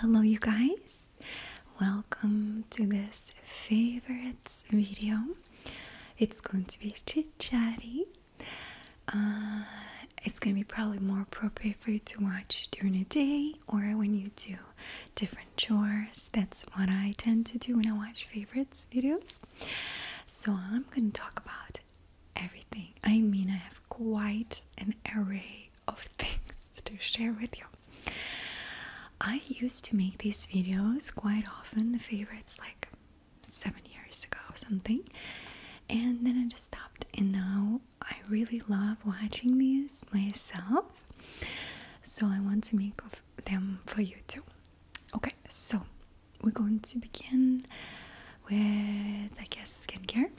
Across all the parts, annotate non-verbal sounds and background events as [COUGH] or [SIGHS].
Hello, you guys. Welcome to this favorites video. It's going to be chit chatty. Uh, it's going to be probably more appropriate for you to watch during the day or when you do different chores. That's what I tend to do when I watch favorites videos. So, I'm going to talk about everything. I mean, I have quite an array of [LAUGHS] things to share with you. I used to make these videos quite often, favorites like seven years ago or something, and then I just stopped. And now I really love watching these myself, so I want to make of them for you too. Okay, so we're going to begin with, I guess, skincare.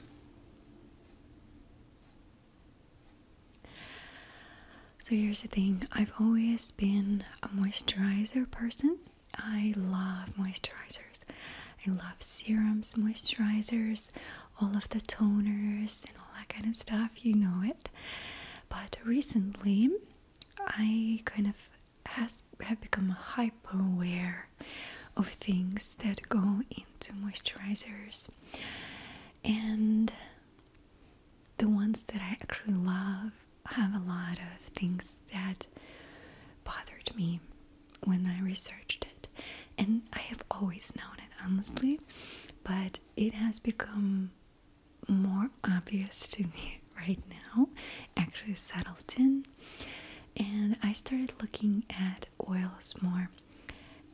So here's the thing I've always been a moisturizer person. I love moisturizers. I love serums, moisturizers, all of the toners, and all that kind of stuff. You know it. But recently, I kind of have become hyper aware of things that go into moisturizers and the ones that I actually love have a lot of things that bothered me when I researched it. And I have always known it, honestly, but it has become more obvious to me [LAUGHS] right now, actually settled in. And I started looking at oils more.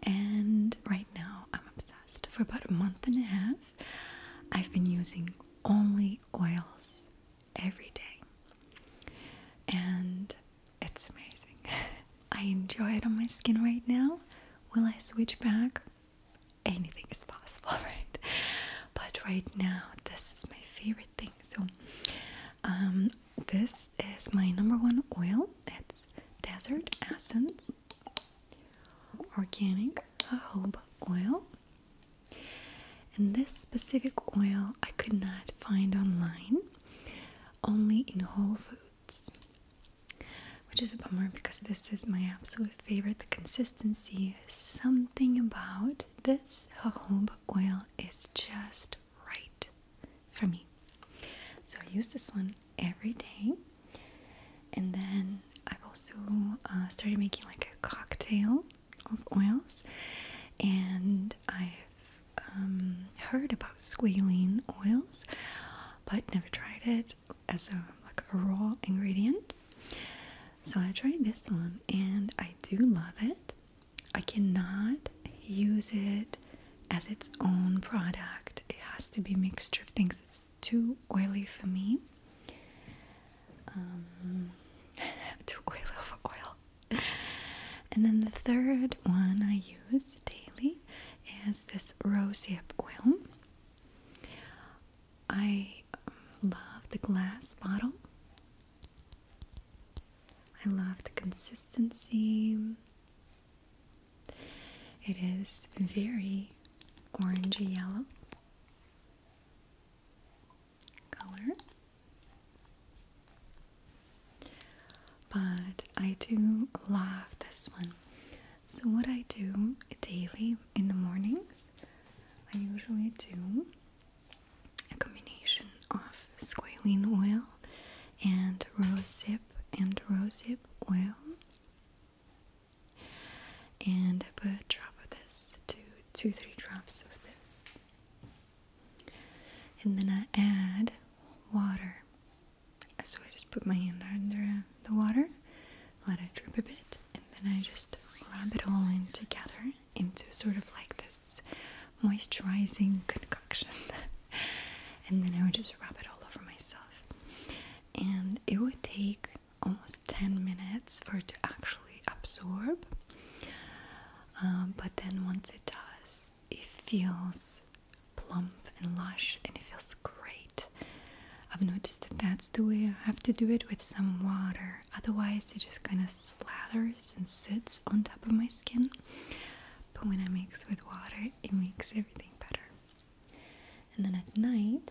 And right now, I'm obsessed. For about a month and a half, I've been using only oils every day, and it's amazing. [LAUGHS] I enjoy it on my skin right now. Will I switch back? Anything is possible, [LAUGHS] right? But right now, this is my favorite thing. So, um, this is my number one oil. It's Desert Essence Organic Jojoba Oil. And this specific oil I could not find online, only in Whole Foods. Which is a bummer because this is my absolute favorite. The consistency, something about this jojoba oil is just right for me. So I use this one every day, and then I've also uh, started making like a cocktail of oils, and I've um, heard about squalene oils, but never tried it as a like a raw ingredient. So I tried this one, and I do love it. I cannot use it as its own product. It has to be a mixture of things. It's too oily for me. Um, [LAUGHS] too oily for oil. and then the third one I use daily is this rosehip oil. I um, love the glass bottle. I love the consistency. It is very orangey yellow color. But I do love this one. So, what I do daily in the mornings, I usually do a combination of squalene oil oil and rosehip and rosehip oil and I put a drop of this, two, two, three drops of this, and then I add water. So I just put my hand under the water, let it drip a bit, and then I just rub it all in together into sort of like this moisturizing concoction. [LAUGHS] and then I would just wrap it all over myself. And it would take almost 10 minutes for it to actually absorb. Um, but then once it does, it feels plump and lush and it feels great. I've noticed that that's the way I have to do it with some water, otherwise, it just kind of slathers and sits on top of my skin. But when I mix with water, it makes everything better. And then at night,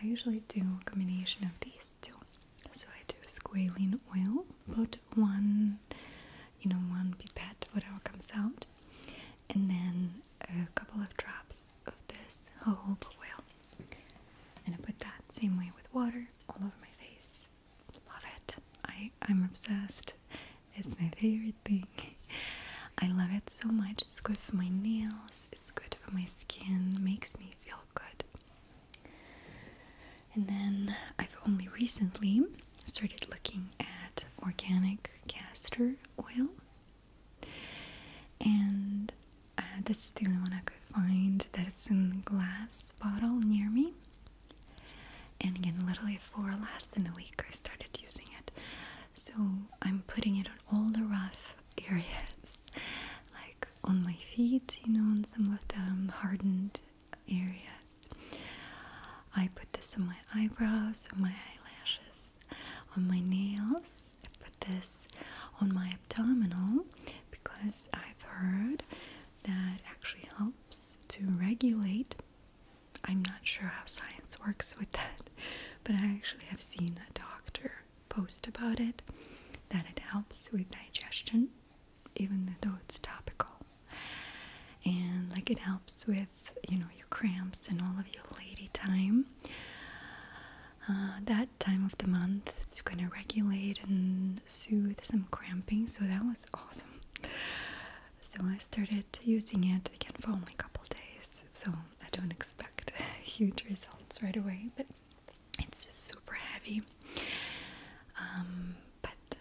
I usually do a combination of these two. So I do squalene oil, put one, you know, one pipette, whatever comes out, and then a couple of drops of this jojoba oil. And I put that same way with water all over my face. Love it. I, I'm obsessed. It's my favorite thing. I love it so much. It's good for my nails, it's good for my skin, makes me feel good. And then I've only recently started looking at organic castor oil. And uh, this is the only one I could find that it's in glass bottle near me. And again, literally for less than a week, I started using it. So I'm putting it on all the rough areas, like on my feet, you know, on some of the um, hardened areas. I put this on my eyebrows, on my eyelashes, on my nails. I put this on my abdominal because I've heard that actually helps to regulate I'm not sure how science works with that, but I actually have seen a doctor post about it that it helps with digestion, even though it's topical. And like it helps with, you know, your cramps and all of your lady time. Uh, that time of the month to kind of regulate and soothe some cramping, so that was awesome. So I started using it again for only a couple days, so I don't expect [LAUGHS] huge results right away, but it's just super heavy. Um, but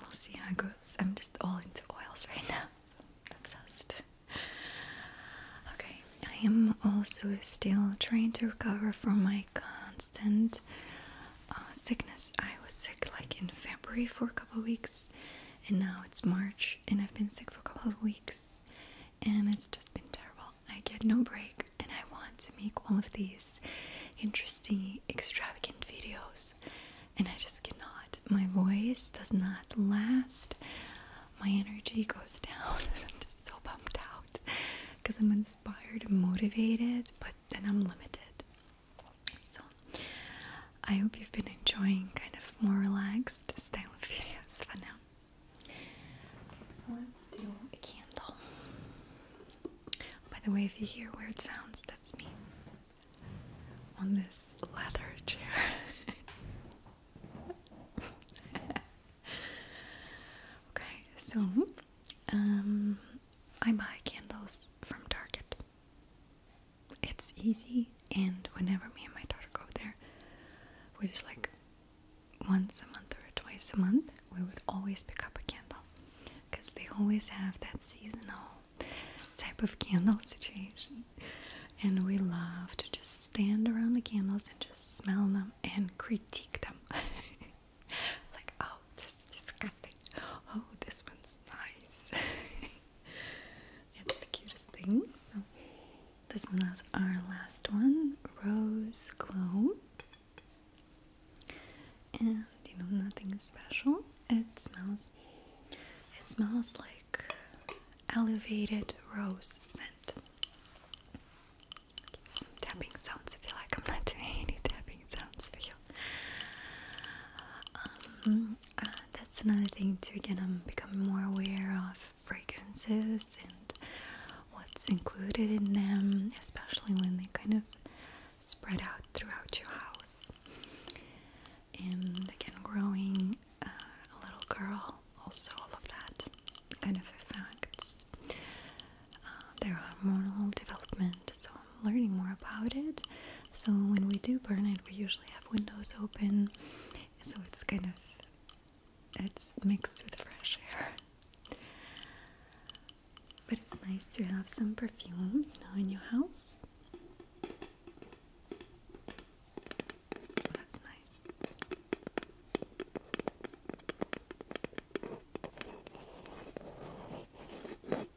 we'll see how it goes. I'm just all into oils right now, I'm obsessed. Okay, I am also still trying to recover from my constant uh, sickness. I was sick like in February for a couple weeks and now it's March and I've been sick for a couple of weeks and it's just been terrible. I get no break and I want to make all of these interesting, extravagant videos and I just cannot. My voice does not last. My energy goes down. [LAUGHS] I'm just so bummed out because I'm inspired and motivated, but then I'm limited. So, I hope you've been enjoying kind of more relaxed style of videos for now. let's do a candle. By the way, if you hear weird sounds, that's me on this leather chair. [LAUGHS] okay, so um, I buy candles from Target it's easy and whenever me and my daughter go there we just like once a month or twice a month we would always pick up a candle because they always have that seasonal type of candle situation and we love to just stand around the candles and just smell them and critique them [LAUGHS] like oh this is disgusting oh this one's nice [LAUGHS] [LAUGHS] it's the cutest thing. So this one was our last one, Rose Glow. And you know nothing special. It smells it smells like elevated rose scent. tapping sounds if you like. I'm not doing any tapping sounds for you. Um, uh, that's another thing too. Again, I'm becoming more aware of fragrances and what's included in them, especially when they kind of spread out throughout your house. And again, growing uh, a little girl, also all of that kind of effects. Uh, there are hormonal development, so learning more about it. So when we do burn it, we usually have windows open, so it's kind of it's mixed with fresh air. But it's nice to have some perfume, you know, in your house. That's nice.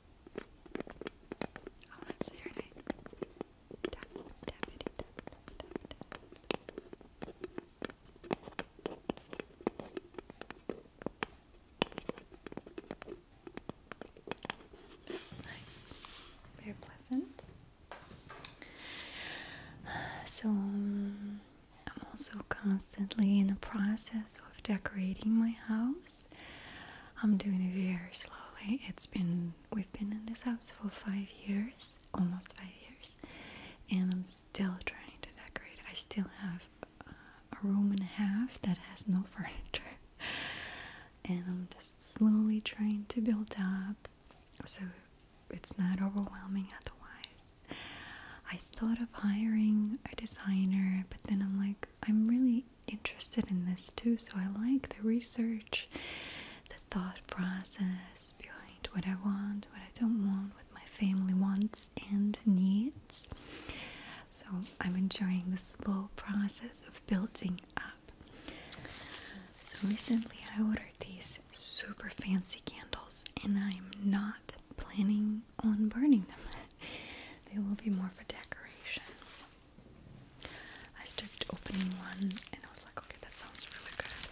Oh, that's very pleasant. So, um, I'm also constantly in the process of decorating my house. I'm doing it very slowly. It's been we've been in this house for five years, almost five years, and I'm still trying to decorate. I still have uh, a room and a half that has no [LAUGHS] furniture, and I'm just slowly trying to build up so it's not overwhelming otherwise. I thought of hiring a designer, but then I'm like, I'm really interested in this too, so I like the research, the thought process behind what I want, what I don't want, what my family wants and needs. So I'm enjoying the slow process of building up. So recently I ordered these super fancy candles and I'm not planning on burning them. [LAUGHS] they will be more for decoration. I started opening one and I was like, okay, that sounds really good.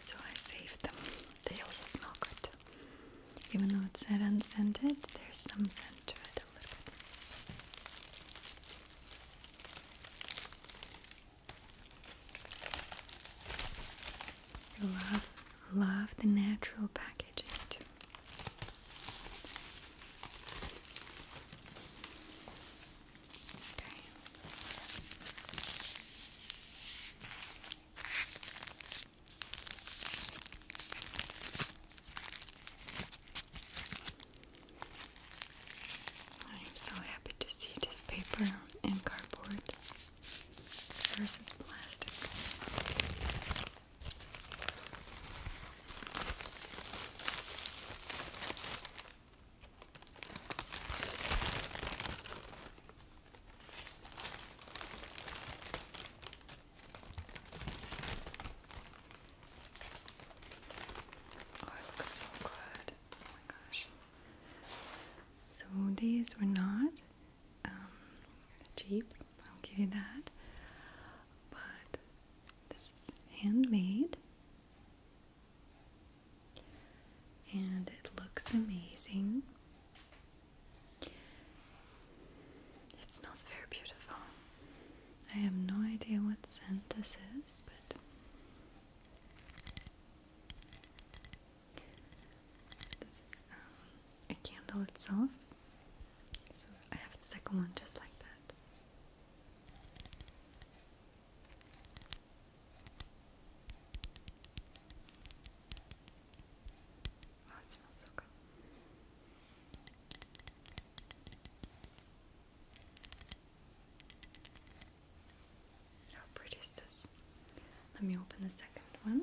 So I saved them. They also smell good. Even though it said unscented, there's some scent to it a little bit. Love, love the natural packaging I'm so happy to see this paper and cardboard versus plastic. Oh, it so good. Oh my gosh. So these were not um, cheap, I'll give you that. But this is handmade and it looks amazing. It smells very beautiful. I have no idea what scent this is, but this is um, a candle itself. So I have the second one just like that. Oh, it smells so good. How pretty is this? Let me open the second one.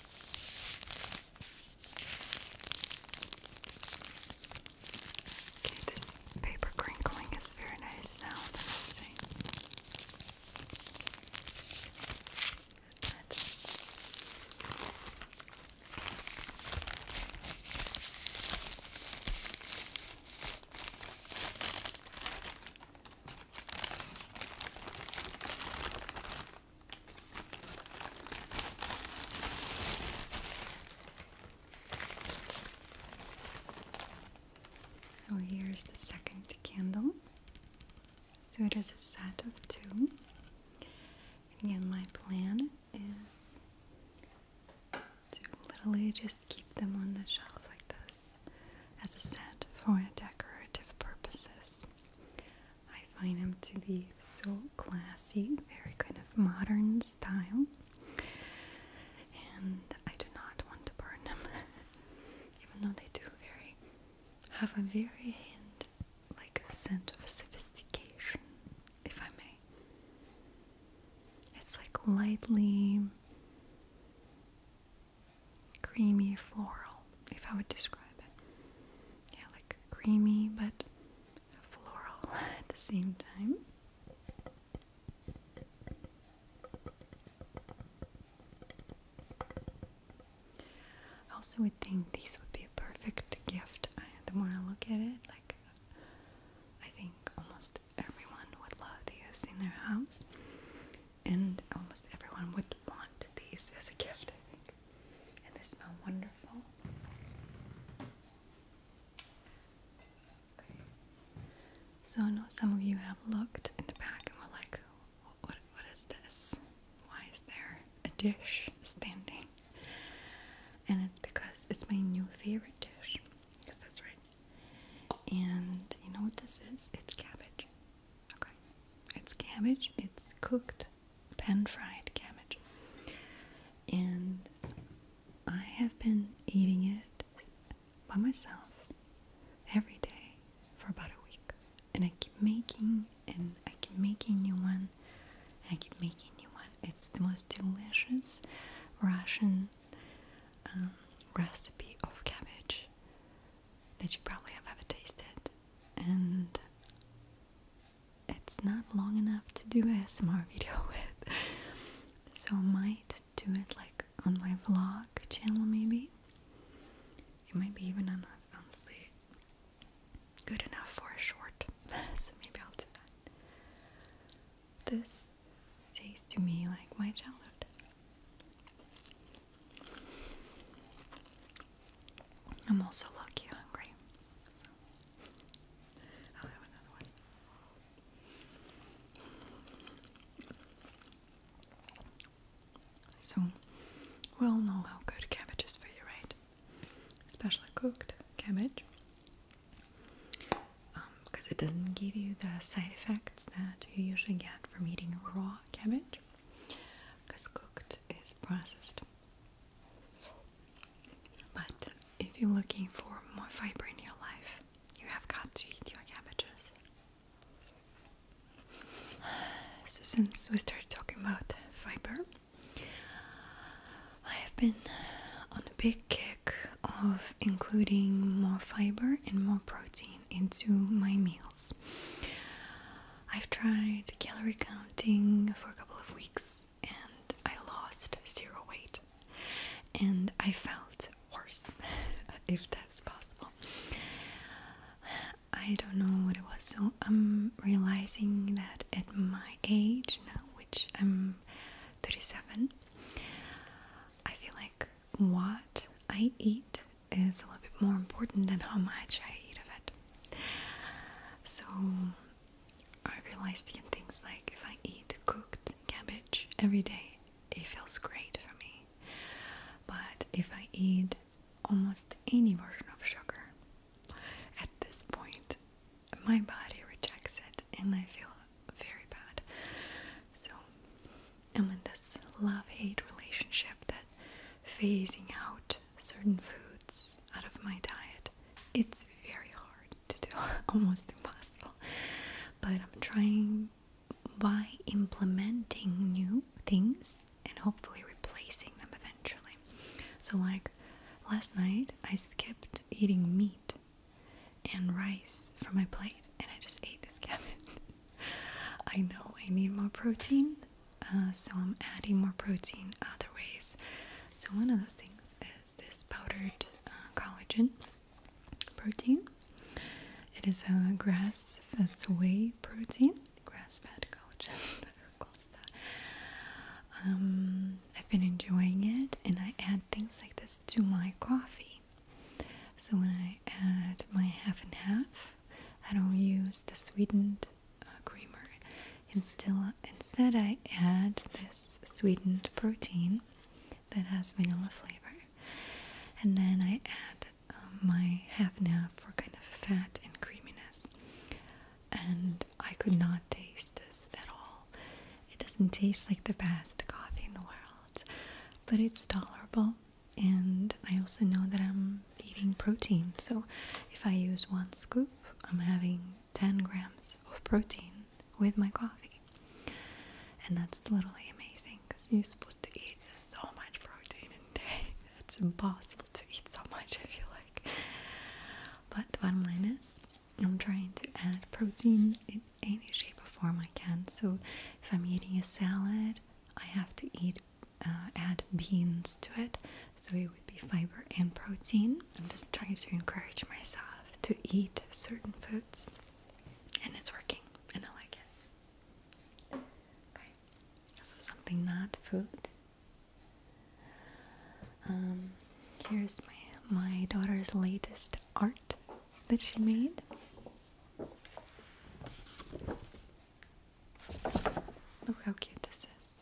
Okay, this paper crinkling is very nice sound, I must say. Okay, so here's the second candle. So it is a set of two. And my plan is to literally just keep them on the shelf like this as a set for decorative purposes. I find them to be so classy, very kind of modern style, and I do not want to burn them, [LAUGHS] even though they do very have a very hint, like a scent of sophistication, if I may. It's like lightly creamy floral, if I would describe it. Yeah, like creamy but floral [LAUGHS] at the same time. I also would think these would be a perfect gift. the more I look at it, like I think almost everyone would love these in their house and almost everyone would want these as a gift, I think. And they smell wonderful. So I know some of you have looked in the back and were like, what, what is this? Why is there a dish standing? And it's because it's my new favorite dish. that's right. And you know what this is? It's cabbage. Okay, it's cabbage, it's cooked, pan fried cabbage. And I have been eating it by myself every day for about a week. And I keep making and I keep making new one. I keep making new one. It's the most delicious Russian um, recipe of cabbage that you probably have ever tasted and it's not long enough to do a S M R [LAUGHS] video with. So I might do it like on my vlog channel maybe. It might be even enough, honestly. Good enough for a short. [LAUGHS] maybe I'll do that. This tastes to me like my childhood. I'm also lucky hungry. So I'll have another one. So we all know how good cabbage is for you, right? Especially cooked cabbage. Because um, it doesn't give you the side effects that you usually get from eating raw cabbage because cooked is processed. But if you're looking for more fiber in your life, you have got to eat your vegetables. [SIGHS] So, since we started talking about fiber, I have been on a big kick of including more fiber and more protein into my meals. I've tried calorie counting for a couple of weeks and I lost zero weight and I felt worse [LAUGHS] if that's possible. I don't know what it was, so I'm realizing that at my age now, which I'm 37, I feel like what I eat is a little bit more important than how much I eat of it. So I realized that things like if I eat cooked cabbage every day, it feels great for me. But if I eat almost any version of sugar, at this point, my body rejects it and I feel very bad. So and with this love hate relationship that phasing out certain foods out of my diet, it's very hard to do, [LAUGHS] almost impossible. But I'm trying by implementing new things and hopefully replacing them eventually. So, like last night, I skipped eating meat and rice from my plate and I just ate this [LAUGHS] cabbage. I know I need more protein, uh, so I'm adding more protein other ways. So, one of those things is this powdered uh, collagen protein. It is a grass fed whey protein, grass fed collagen. [LAUGHS] Um, I've been enjoying it, and I add things like this to my coffee. So, when I add my half and half, I don't use the sweetened uh, creamer. instead, I add this sweetened protein that has vanilla flavor, and then I add um, my half and half for kind of fat and creaminess. And I could not taste this at all. It doesn't taste like the best coffee in the world, but it's tolerable and I also know that I'm eating protein. So if I use one scoop, I'm having 10 grams of protein with my coffee. And that's literally amazing because you're supposed to eat so much protein a day. [LAUGHS] It's impossible to eat so much if you like. But the bottom line is, I'm trying to add protein in any shape or form I can. So if I'm eating a salad, I have to eat uh, add beans to it, so it would be fiber and protein. I'm just trying to encourage myself to eat certain foods, and it's working, and I like it. Okay, so something not food. Um, here's my my daughter's latest art that she made. Look how cute this is.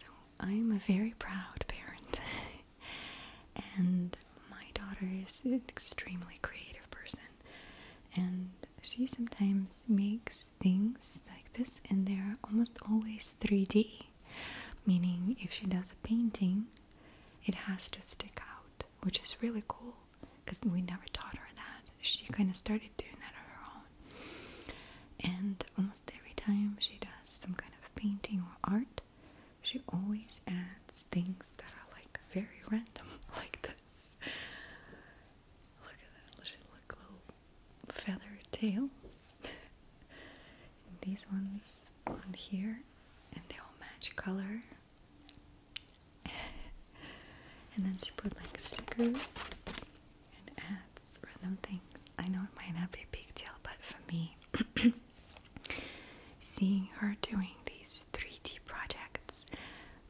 So, I'm a very proud parent, [LAUGHS] and my daughter is an extremely creative person, and she sometimes makes things like this, and they're almost always 3D, meaning if she does a painting, it has to stick out, which is really cool because we never taught her that. She kind of started doing that on her own. And almost every time she does some kind of painting or art, she always adds things that are like very random, [LAUGHS] like this. Look at that, little feather tail. these ones on here, and they all match color and then she put like stickers and ads, random things. I know it might not be a big deal, but for me, [CLEARS THROAT] seeing her doing these 3D projects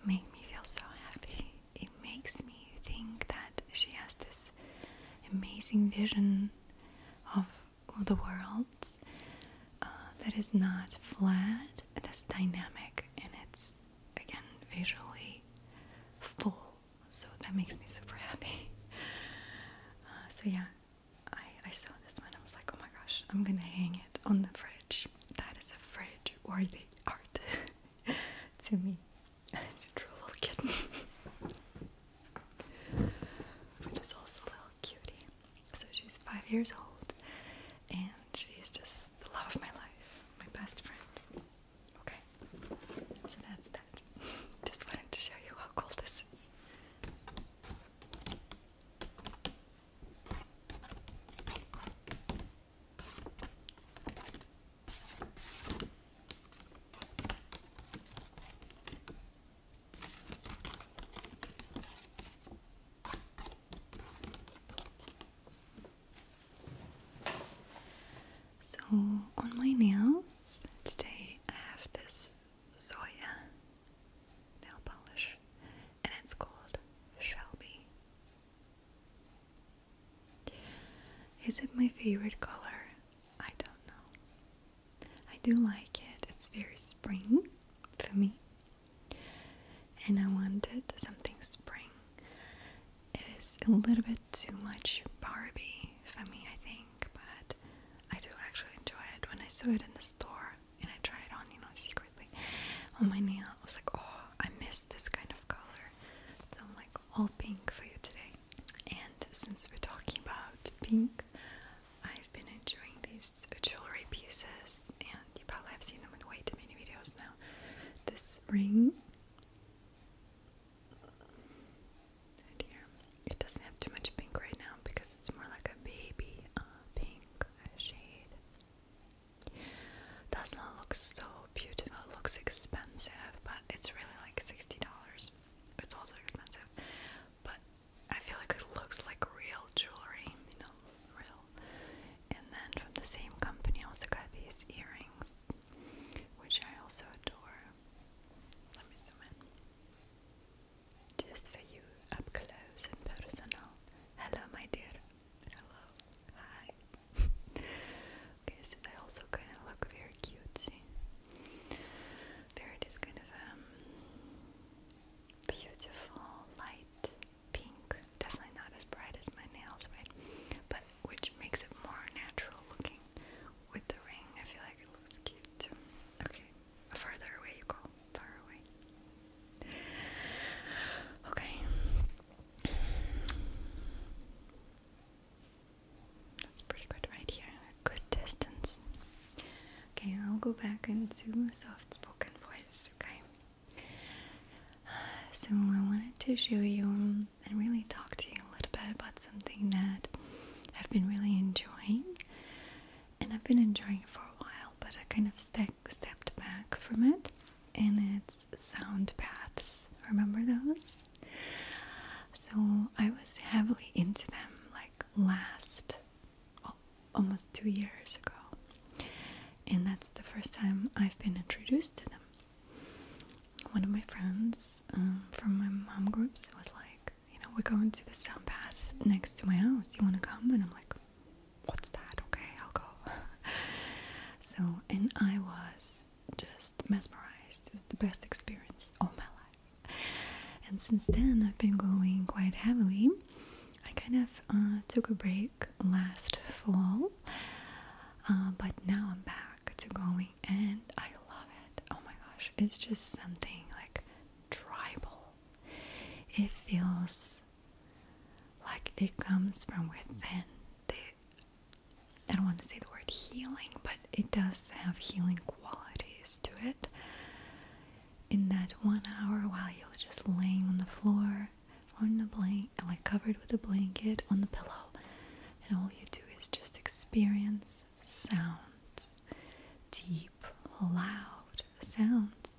make me feel so happy. It makes me think that she has this amazing vision of the world uh, that is not flat, that's dynamic and it's again visually full, so that makes me super happy. Uh, so yeah, I, I saw this one. I was like, oh my gosh, I'm gonna hang it on the fridge. That is a fridge worthy art [LAUGHS] to me. it's [LAUGHS] a true little kitten, [LAUGHS] which is also a little cutie. So she's five years old, and she's just the love of my life, my best friend. Okay, so that's that. [LAUGHS] Just wanted to show you how cool this is. So, on my nails today, I have this Zoya nail polish, and it's called Shelby. Is it my favorite color? I don't know. I do like it, it's very spring for me and I wanted something spring. It is a little bit too much Barbie for me, I think, but I do actually enjoy it. When I saw it in the store and I try it on, you know, secretly on my nail, I was like, oh, I miss this kind of color. So I'm like all pink for you today. And since we're talking about pink, I've been enjoying these jewelry pieces, and you probably have seen them in way too many videos now. This ring It doesn't have too much pink right now because it's more like a baby uh, pink shade. Does not look so beautiful. It looks expensive, but it's really like sixty dollars. It's also expensive, but I feel like it looks like real jewelry. You know, real and then from the same company, also got these earrings, which I also adore. Let me zoom in. Just for you, up close and personal. Hello, my dear. Hello. Hi. [LAUGHS] okay, so they also kind of look very cutesy. There it is, kind of um, beautiful light pink. Definitely not as bright as my nails, right? But which makes it more natural looking with the ring. I feel like it looks cute too. Okay, further away you go. Far away. Okay. That's pretty good right here. A good distance. Okay, I'll go back into soft spoken voice, okay? So, I wanted to show you and really talk to you a little bit about something that I've been really enjoying. And I've been enjoying it for a while, but I kind of ste stepped back from it. And it's sound baths. Remember those? So, I was heavily into them like last almost two years ago. And that's the first time I've been introduced to them one of my friends um, from my mom group was like, you know, we're going to the sound bath next to my house. You want to come? And I'm like, what's that? Okay, I'll go. [LAUGHS] so, and I was just mesmerized. It was the best experience all my life. And since then, I've been going quite heavily. I kind of uh, took a break last fall uh, but now I'm back to going and I love it. Oh my gosh, it's just something like tribal. It feels like it comes from within. I don't want to say the word healing, but it does have healing qualities to it. In that one hour while you're just laying on the floor, on the blanket, like covered with a blanket on the pillow, and all you do is just experience sounds, deep, loud sounds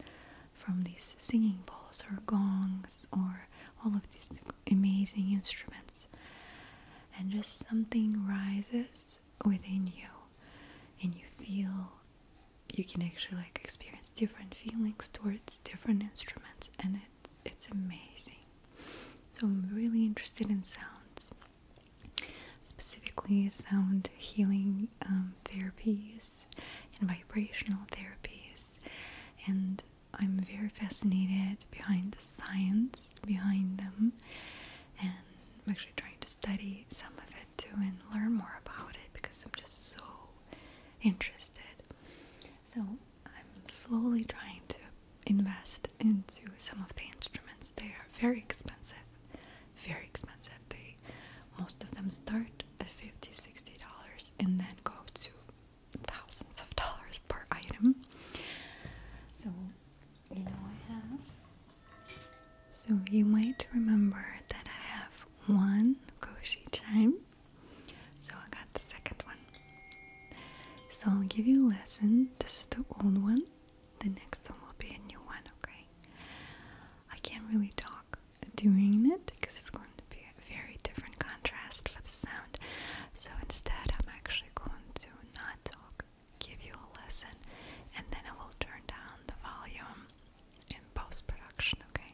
from these singing bowls or gongs or all of these amazing instruments, and just something rises within you, and you feel you can actually like experience different feelings towards different instruments and it it's amazing. So I'm really interested in sounds, specifically sound healing um, therapies and vibrational therapies, and I'm very fascinated behind the science behind them, and I'm actually trying to study some of it too and learn more about it because I'm just so interested. So I'm slowly trying to invest into some of the instruments. They are very expensive, very expensive. They most of them start at 50 60 dollars and then go to thousands of dollars per item. So you know I have so you might remember that I have one Koshi chime so I got the second one. So I'll give you a lesson. This is the old one. The next one will be a new one, okay? I can't really talk during it because it's going to be a very different contrast for the sound. So instead, I'm actually going to not talk, give you a lesson, and then I will turn down the volume in post production, okay?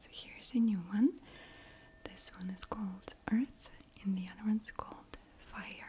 So here's a new one. This one is called Earth, and the other one's called Fire.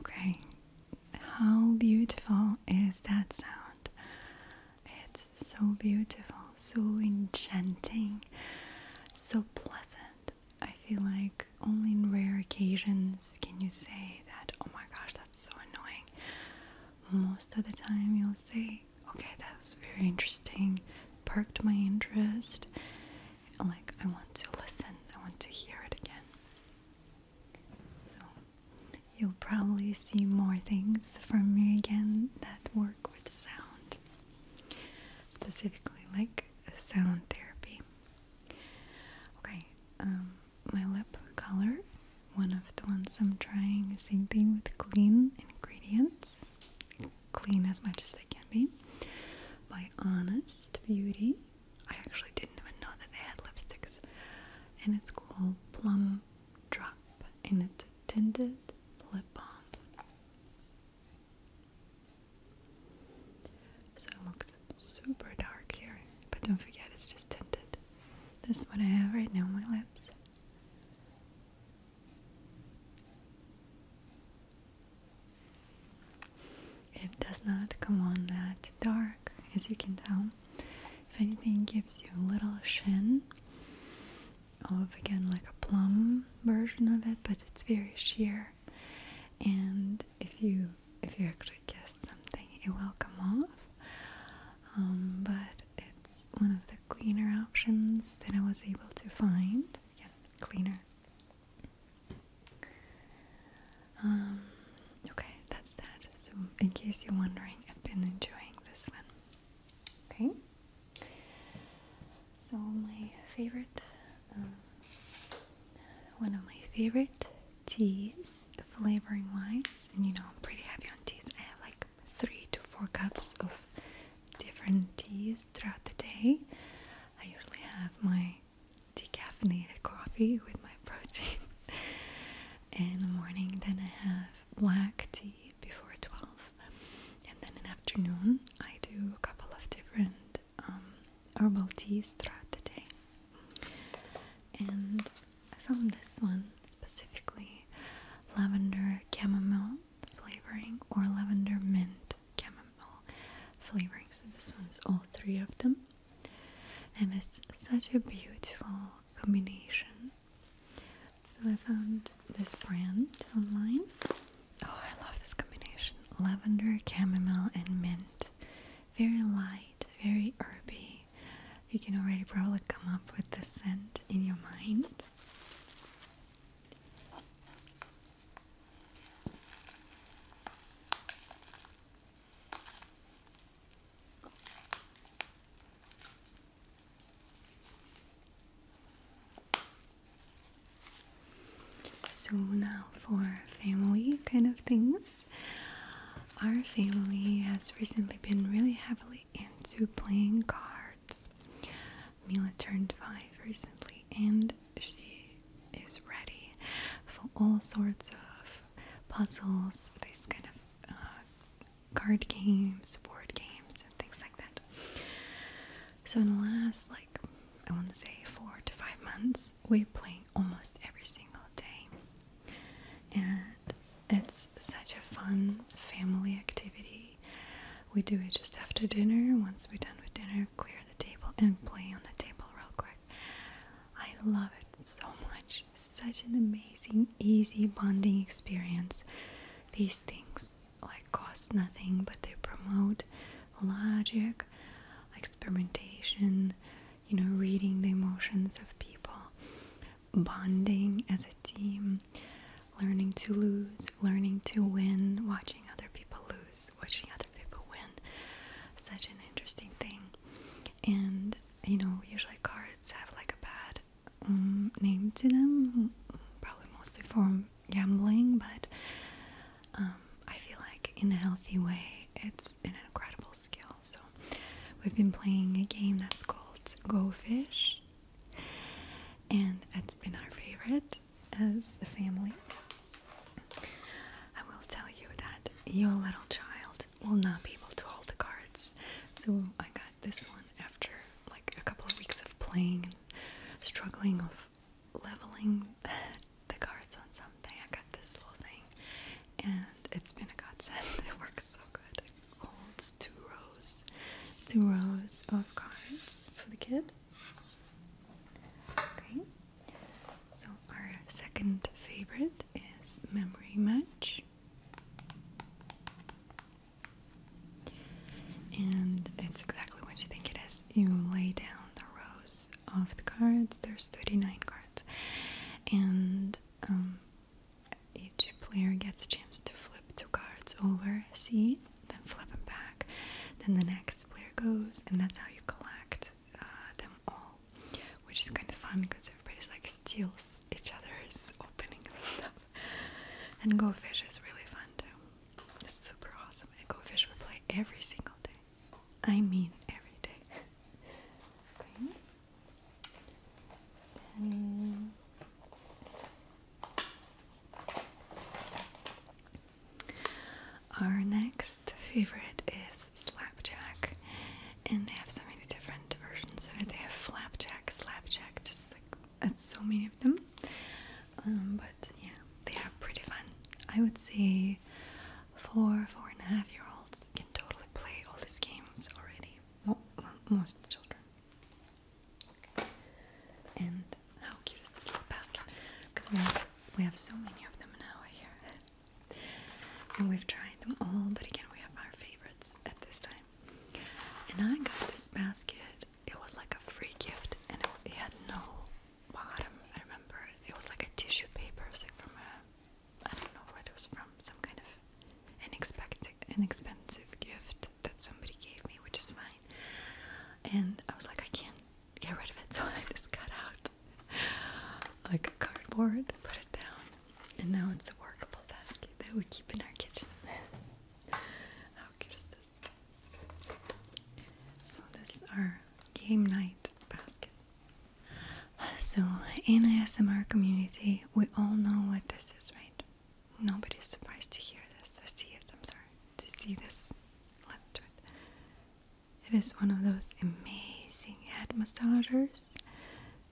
Okay, how beautiful is that sound? It's so beautiful, so enchanting, so pleasant. I feel like only in rare occasions can you say that, oh my gosh, that's so annoying. Most of the time, you'll say, okay, that was very interesting, perked my interest. Like, I want to listen, I want to hear it again. So, you'll probably see more things from me again that work with sound, specifically like sound therapy. Okay, um, my lip color, one of the ones I'm trying, same thing with clean ingredients, clean as much as they can be, by Honest Beauty. I actually didn't even know that they had lipsticks, and it's called Plum Drop, and it's a tinted lip balm. So it looks super dark here, but don't forget it's just tinted. This one I have right now on my lips. It does not come on that dark, as you can tell. If anything, gives you a little sheen of again like a plum version of it, but it's very sheer. And if you if you actually guess something, it will come off. Um, but it's one of the cleaner options that I was able to find. Yeah, cleaner. Um, okay, that's that. So, in case you're wondering, I've been enjoying this one. Okay. So, my favorite um, one of my favorite teas, the flavoring wise, and you know I'm pretty heavy on teas. I have like three to four cups of different teas throughout the day. I usually have my decaffeinated coffee with my [LAUGHS] protein in the morning. Then I have black tea before 12, and then in the afternoon I do a couple of different um, throughout the day, And I found this one specifically lavender chamomile flavoring or lavender mint chamomile flavoring. So, this one's all three of them, and it's such a beautiful combination. So, I found this brand online. Oh, I love this combination lavender, chamomile, and mint very light, very herby. You can already probably come up with the scent in your mind. So now for family kind of things our family has recently been really heavily into playing cards. Mila turned five recently and she is ready for all sorts of puzzles, these kind of uh, card games, board games, and things like that. So, in the last, like, I want to say four to five months, we play almost every single day. And it's such a fun family activity. We do it just after dinner. Once we're done with dinner, clear the table and play on the table real quick. I love it so much. Such an amazing, easy bonding experience. These things like cost nothing, but they promote logic, experimentation, you know, reading the emotions of people, bonding as a team, learning to lose, learning to win, watching other people lose, watching other people win. Such an interesting thing. And, you know, usually cards have like a bad um, name to them, probably mostly for gambling, but um, I feel like in a healthy way, it's an incredible skill. So we've been playing a game that's called Go Fish, and it's been our favorite as a family. I will tell you that your little child will not be able to hold the cards. So I got this one after like a couple of weeks of playing struggling with leveling the cards on something. I got this little thing, and it's been a godsend. [LAUGHS] It works so good. It holds two rows, two rows of cards for the kid. Okay. So our second favorite is Memory Match. And it's exactly what you think it is. You lay down the rows of the cards. There's 39 cards, and um, each player gets a chance to flip two cards over, see, then flip them back. Then the next player goes, and that's how you collect uh, them all, which is kind of fun because everybody's like steals each other's [LAUGHS] opening stuff. And Go Fish is really fun too. It's super awesome. At Go Fish we play every single day. I mean every day. [LAUGHS] our next favorite is slapjack, and they have so many different versions of it. They have flapjack, slapjack, just like that's uh, so many of them. Um, but yeah, they are pretty fun. I would say four, four and a half year olds can totally play all these games already. most children. And how cute is this little basket? Because we have, so many of them now here. and we've tried them all, but again, we have our favorites at this time. And I got this basket, it was like a free gift, and it, it had no bottom. I remember it was like a tissue paper, it was like from a I don't know where it was from, some kind of inexpected, inexpensive gift that somebody gave me, which is fine. And I was like, I can't get rid of it, [LAUGHS] so I just cut out like a cardboard, put it down, and now it's a workable basket that we keep in our kitchen. [LAUGHS] How cute is this? So this is our game night basket. So, in the ASMR community, we all know what this is, right? Nobody's surprised to hear this, to see it, I'm sorry, to see this. It is one of those amazing head massagers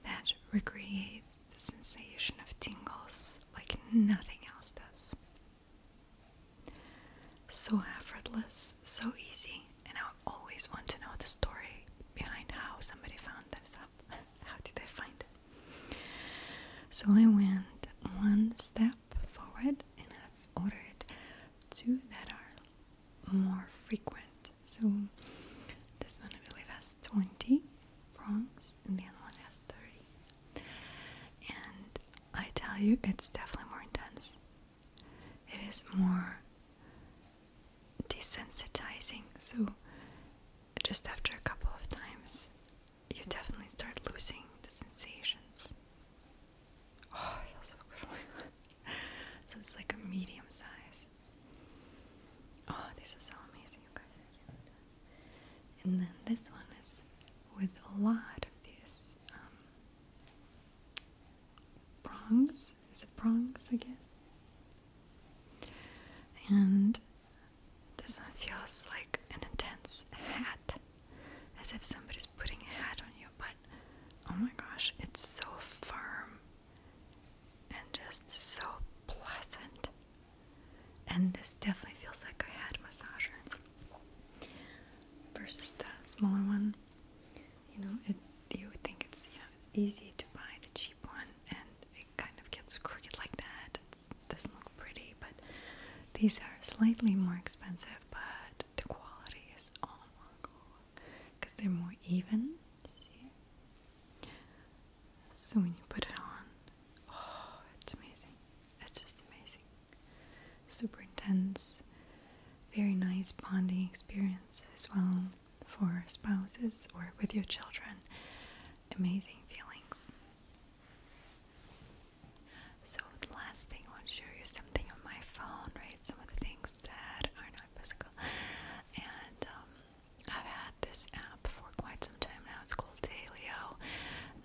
that recreates the sensation of tingles like nothing else does. So effortless, so easy and I always want to know the story behind how somebody found this up. [LAUGHS] how did they find it? So I went one step forward and I've ordered two that are more frequent. So this one I believe has 20 prongs and the other one has 30. And I tell you, it's definitely more intense it is more desensitizing. So, just after a couple of times, you definitely start losing the sensations. Oh, it feels so good. [LAUGHS] so, it's like a medium size. Oh, this is so amazing, you guys. And then this one is with a lot of these um, prongs. Is it prongs, I guess? And this one feels like an intense hat, as if somebody's putting a hat on you, but oh my gosh, it's so firm and just so pleasant. And this definitely feels like a head massager versus the smaller one. You know, it you think it's you know it's easy to buy the cheap one, and it kind of gets crooked like that. It doesn't look pretty, but these are slightly more expensive, but the quality is all one because they're more even. so when you put it on, oh, it's amazing! It's just amazing, super intense very nice bonding experience as well for spouses or with your children. Amazing feelings. So, the last thing I want to show you is something on my phone, right? Some of the things that are not physical. And um, I've had this app for quite some time now. It's called Talio.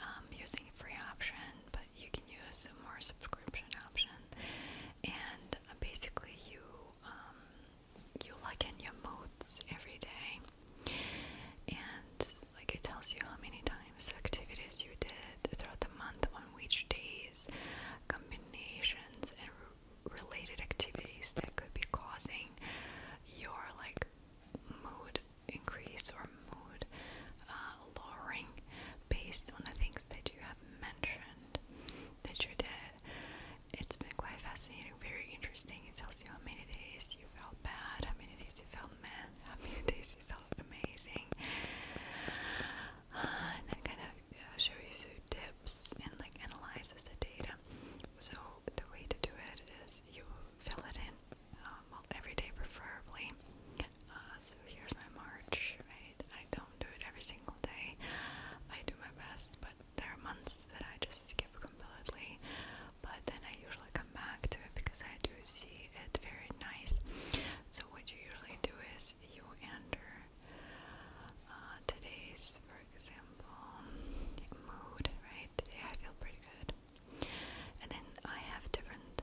I'm um, using a free option, but you can use a more subscription option and uh, basically you um, you liken your moods every day, and like it tells you how many times activities you did throughout the month, on which days, combinations and related activities that could be causing your like mood increase or mood uh, lowering based on the things that you have mentioned that you did. It's been quite fascinating, very interesting. It tells you how many days you felt bad, how many days you felt mad, [LAUGHS] how many days you felt amazing. Uh, and then kind of uh, shows you tips and like analyzes the data. So the way to do it is you fill it in um, well, every day preferably. Uh, so here's my March. I I don't do it every single day. I do my best, but there are months that I just skip completely. But then I usually come back to it because I do see it very nice. So what you usually do is you enter uh, today's, for example, mood. Right? Today I feel pretty good. And then I have different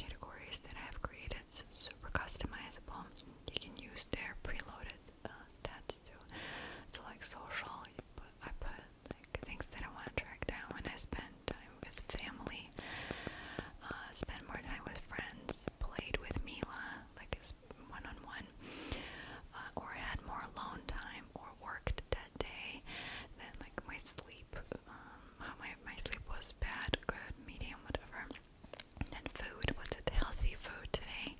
categories that I have created, super customizable you can use their preloaded uh, stats too. So like social, you put, I put like things that I want to track down when I spend time with family, uh, spend more time with friends, played with Mila like it's one on one, uh, or had more alone time, or worked that day. Then like my sleep, um, how my my sleep was bad, good, medium, whatever. And food was it healthy food today?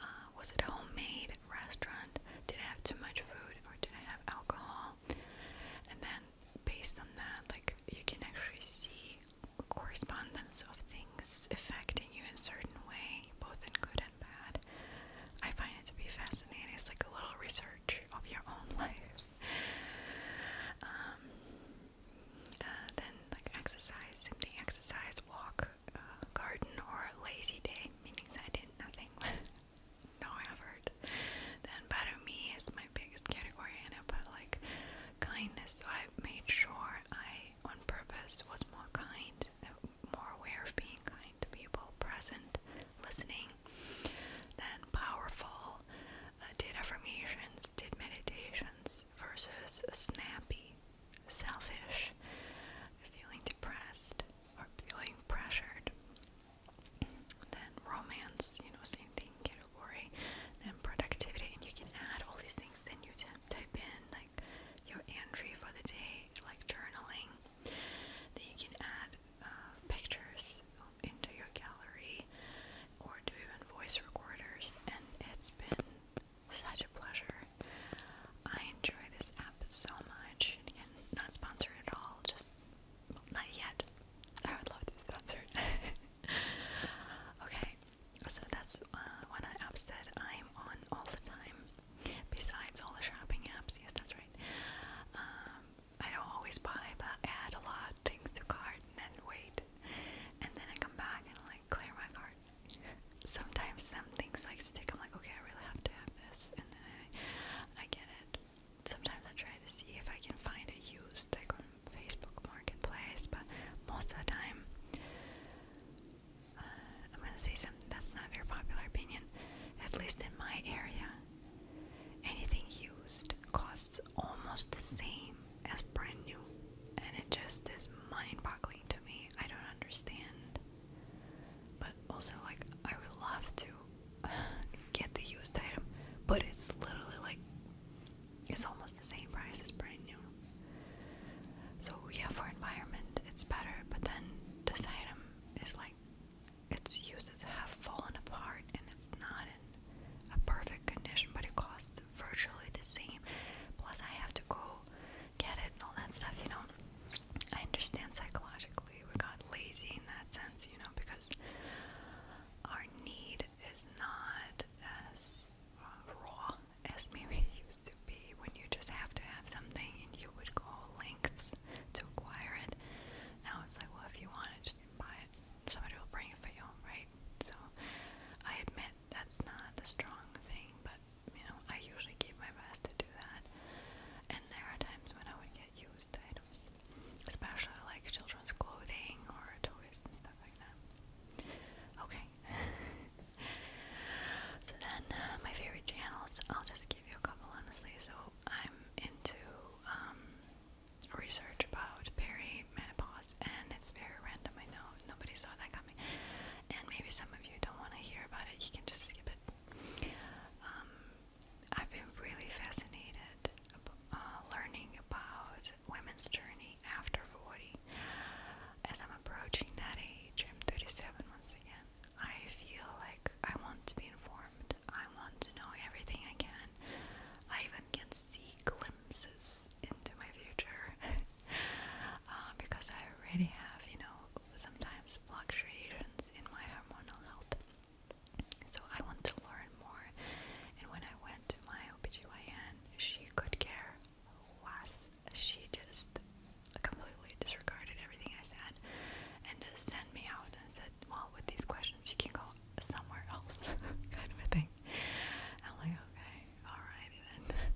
Uh, was it homemade restaurant? Did I have too much food or did I have alcohol? And then based on that, like you can actually see correspondence of things affecting you in a certain way, both in good and bad. I find it to be fascinating. It's like a little research of your own [LAUGHS] life. Um, uh, then like exercise, same thing, exercise, walk, uh, garden, or lazy day, meaning I did nothing, [LAUGHS] no effort. Then better me is my biggest category, and I put like kindness. So I made sure I, on purpose, was more kind, more aware of being kind to people, present, listening. Then powerful, uh, did affirmations, did meditations versus snappy, selfish, feeling depressed or feeling pressured. Then romance, you know, same thing category. Then productivity, and you can add all these things. Then you type in like your entry for the day, like journaling. Then you can add uh, pictures into your gallery or do even voice recorders. And it's been such a pleasure. I enjoy this app so much. not sponsored at all, just not yet. [LAUGHS] I would love to be sponsored. [LAUGHS] okay, so that's uh, one of the apps that I'm on all the time, besides all the shopping apps. Yes, that's right. Um, I don't always buy, but add a lot things to cart and wait. And then I come back and like clear my cart. Sometimes some things like stick. I'm like, okay, I really have to have this, and then I, I get it. Sometimes I try to see if I can find a used like on Facebook Marketplace, but most of the time, uh, I'm gonna say something that's not a very popular opinion. At least in my area, anything used costs almost the same as brand new, and it just is mind-boggling to me. I don't understand, but also like I would love to [LAUGHS] get the used item, but it's literally like it's almost the same price as brand new. So yeah, for environment it's better, but then this item is like its uses have fallen apart and it's not in a perfect condition, but it costs virtually the same. Plus, I have to go get it and all that stuff, you know. I understand psychologically we got lazy in that sense, you know, because our need is not as uh, raw as maybe it used to be when you just have to have something and you would go lengths to acquire it. Now it's like, well, if you want it, just buy it. Somebody will bring it for you, right? So I admit that's not a strong thing, but you know, I usually give my best to do that. And there are times when I would get used items, especially like children's clothing or toys and stuff like that. Okay. [LAUGHS] so then, uh, my favorite channels, I'll just give you a couple honestly. So I'm into um, research about peri menopause, and it's very random. I know nobody saw that coming, and maybe some of you don't want to hear about it. You can just skip it. Um, I've been really fascinated uh, learning about women's journey after 40. As I'm approaching that age, I'm 37 once again. I feel like I want to be informed. I want to know everything I can. I even can see glimpses years into my future [LAUGHS] uh, because I already have, you know, sometimes fluctuations in my hormonal health. So I want to learn more. And when I went to my OBGYN, she could care less. She just completely disregarded everything I said and just sent me out and said, Well, with these questions, you can go somewhere else, [LAUGHS] kind of a thing. I'm like, okay, alrighty then.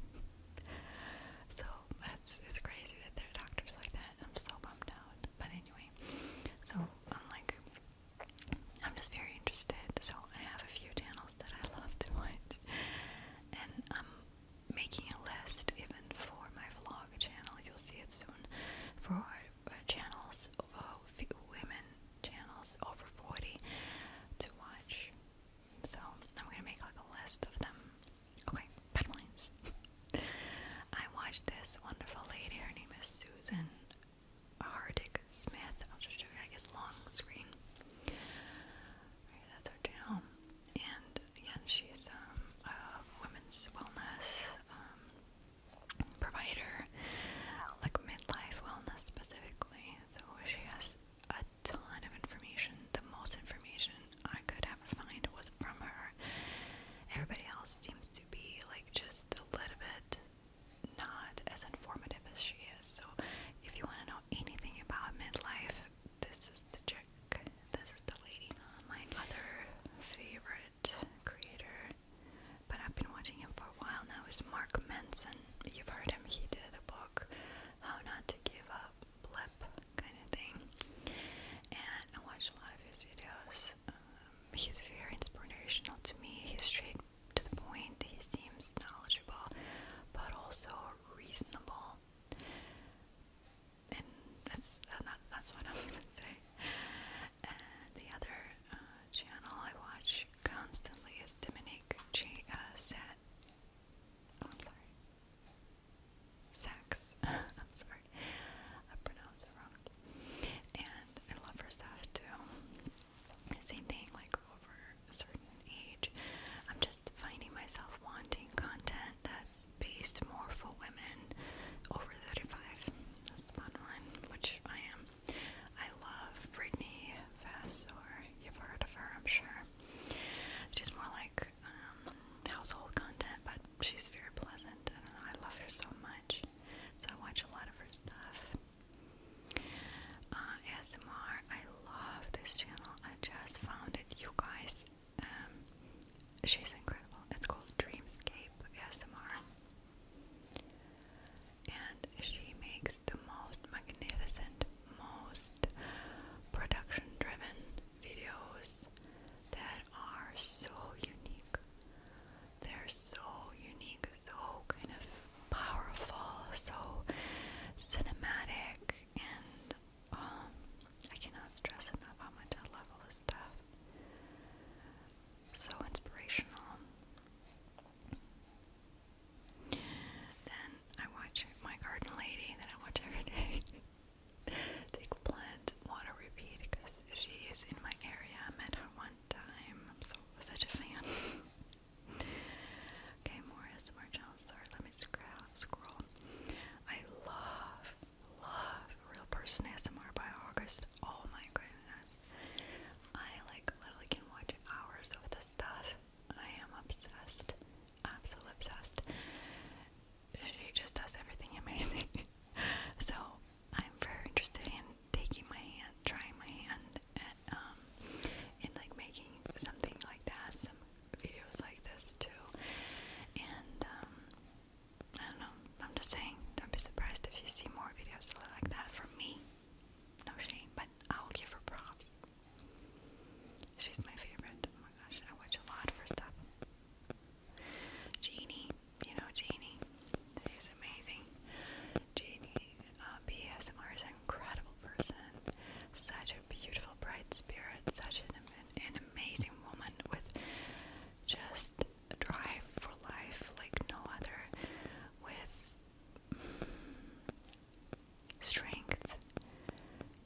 so that's it's crazy that there are doctors like that. I'm so bummed out. But anyway, so I'm like, I'm just very interested. So I have a few channels that I love to watch, and I'm making a list even for my vlog channel. You'll see it soon. For uh, channels, uh, women channels over 40 to watch so I'm gonna make like a list of them. Okay, bad I watched this wonderful lady. Her name is Susan Hardick Smith. I'll just show you. I guess long screen. Right, that's her channel. And again, she's um, a women's wellness um, provider, like midlife wellness specifically. So she has a ton of information. The most information I could have find was from her. Everybody else seems to be like just a little bit not as informative as she is. So if you want to know anything about midlife, this is the chick. This is the lady. My other favorite creator, but I've been watching him for a while now, is Mark Manson. You've heard him. He did a how Not to Give Up, kind of thing. And I watched a lot of his videos. Um, he's very inspirational to me. He's straight to the point. He seems knowledgeable, but also reasonable. And that's uh, that's what [LAUGHS] I'm gonna say. And the other uh, channel I watch constantly is Dominic J. Uh, Oh, I'm sorry. Saks. [LAUGHS] I'm sorry. I pronounced it wrong. And I love her stuff too. Same thing, like over a certain age. I'm just finding myself wanting content that's based more for women over 35. That's the bottom line, which I am. I love Brittany Vassor. You've heard of her, I'm sure. She's more like um, household content, but she's very pleasant. I I love her so much. So I watch a lot of her stuff. Uh, ASMR, I love this channel. I just found it. You guys, um, she's incredible. It's called Dreamscape ASMR and she makes the most magnificent, most production driven videos that are so unique. They're so unique, so kind of powerful, so cinematic, and um, I cannot stress enough how much I love all this stuff. So inspirational. Then I watch my garden lady that I watch every day [LAUGHS] take plant water repeat because she is in my area. I met her one time. I'm so such a fan. [LAUGHS] okay, more SMR Sorry, let me scroll. I love, love real person ASMR by August. Oh my goodness. I like literally can watch hours of this stuff. I am obsessed. Absolutely obsessed. She just does everything amazing. [LAUGHS] so I'm very interested in taking my hand, trying my hand at um and like making something like that, some videos like this too. And um, I don't know, I'm just saying, don't be surprised if you see more videos like that from me. No shame, but I'll give her props. She's my favorite. Oh my gosh, I watch a lot of her stuff. Jeannie, you know Jeannie. She's amazing. Jeannie uh, BSMR is an incredible person. Such a beautiful, bright spirit. Such an, an amazing woman with just drive for life like no other. With strength,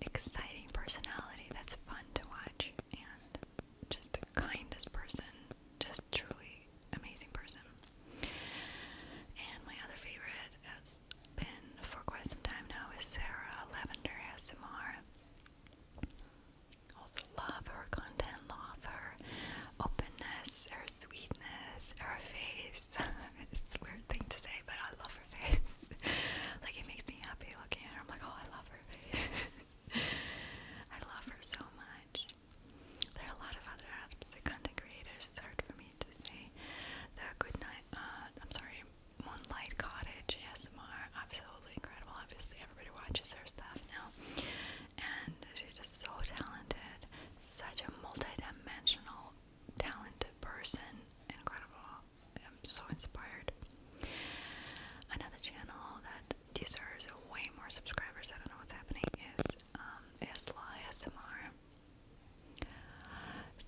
exciting personality that's fun to watch, and just the kindest person, just truly amazing person. And my other favorite has been for quite some time now is Sarah Lavender ASMR. Also love her content, love her openness, her sweetness, her face, face. [LAUGHS] it's a weird thing to say, but I love her face. [LAUGHS] like it makes me happy looking at her. I'm like, oh, I love her face. [LAUGHS] I love her so much. There are a lot of other the content creators. It's hard for me to say. The Good Night, uh, I'm sorry, Moonlight Cottage ASMR, absolutely incredible. Obviously, everybody watches her stuff now, and she's just so talented. Such a multi-dimensional talented person, incredible. I'm so inspired. Another channel that deserves way more subscribers, I don't know what's happening, is um, Isla ASMR.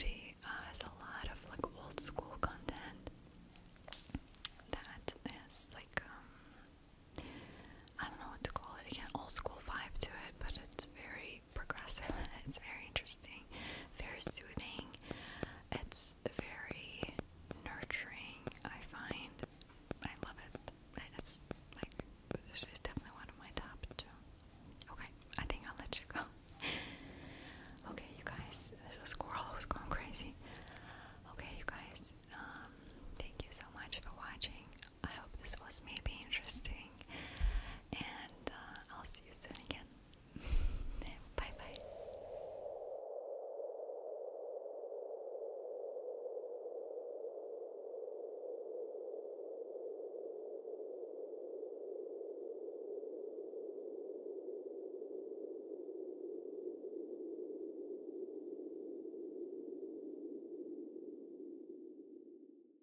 She uh, a lot of like old school content that is like, um, I don't know what to call it, again, old school vibe to it, but it's very progressive. [LAUGHS] it's very interesting, very soothing. It's very nurturing. I find I love it. It's like this definitely one of my top two. Okay, I think I'll let you go. [LAUGHS] okay, you guys, the squirrel was going crazy. Okay, you guys, um, thank you so much for watching. I hope this was maybe interesting listening, and uh, I'll see you soon again. bye [LAUGHS] bye.